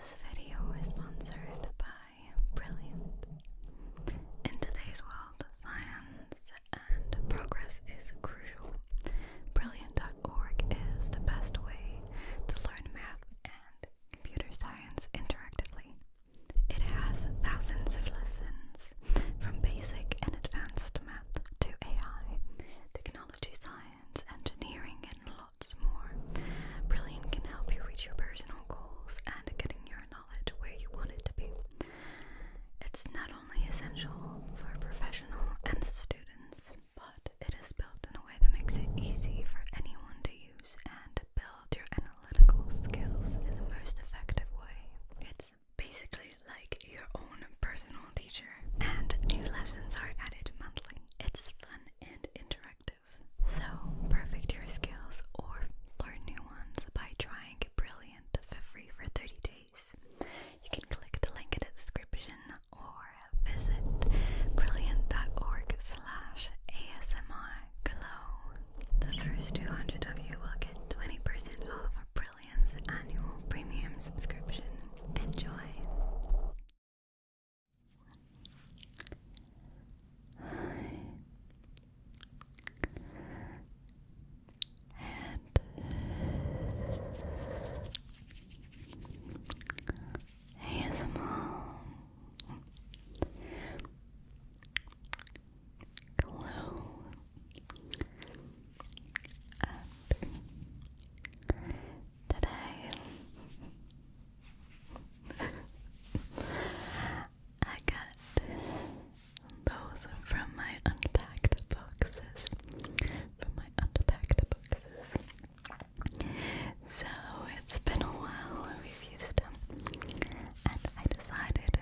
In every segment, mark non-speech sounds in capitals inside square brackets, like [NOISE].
This video is sponsored by Brilliant. In today's world, science and progress is crucial. Brilliant.org is the best way to learn math and computer science interactively. It has thousands of lessons from basic and advanced math to AI, technology science science, engineering, and lots more. Brilliant can help you reach your personal goals and getting your knowledge where you want it to be. It's not only essential for professional and students, but it is built in a way that makes it easy for anyone to use and build your analytical skills in the most effective way. It's basically like your own personal and new lessons are added monthly. It's fun and interactive. So, perfect your skills or learn new ones by trying Brilliant for free for 30 days. You can click the link in the description or visit brilliant.org slash ASMR The first 200 of you will get 20% off Brilliant's annual premium subscription. Enjoy. And ASMR. Hello. And today I got those from my unpacked boxes. From my unpacked boxes. So it's been a while we've used them. And I decided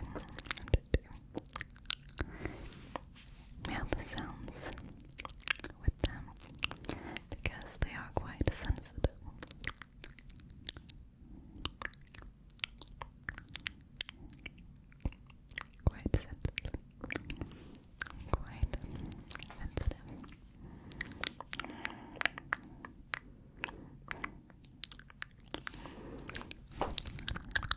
mouth sounds with them because they are quite sensitive. Quite sensitive. Quite sensitive.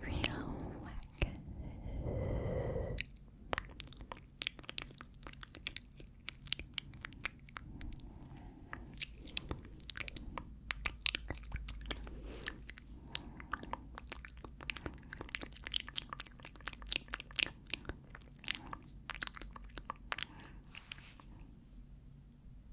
Real Relax.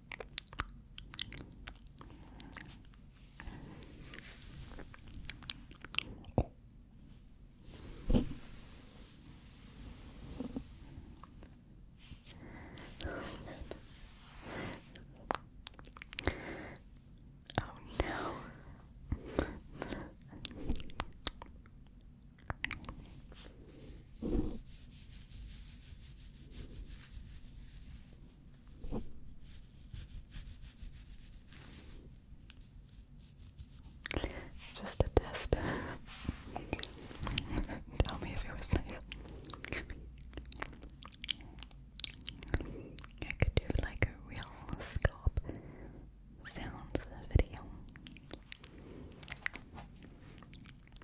Oh. Oh no just a test. [LAUGHS] Tell me if it was nice. I could do like a real scope sounds video.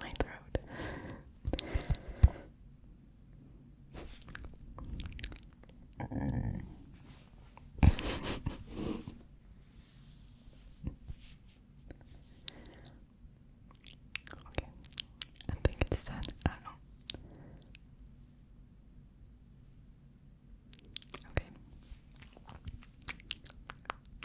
my throat. okay, I think it's done. I don't know. Okay.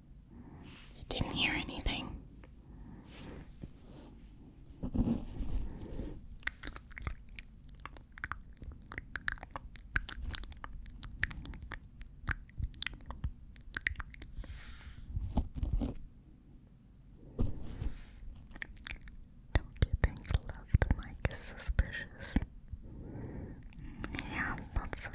You didn't hear anything. Don't you think loved Mike is suspicious? Yeah, not so true.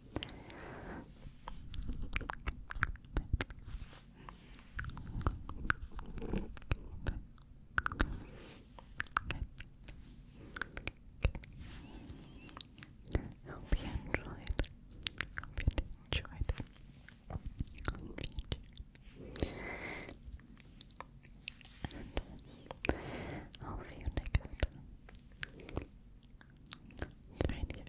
I hope you enjoyed. I hope you enjoyed. I will see you next Find your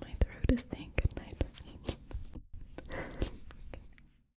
My throat is saying goodnight. [LAUGHS]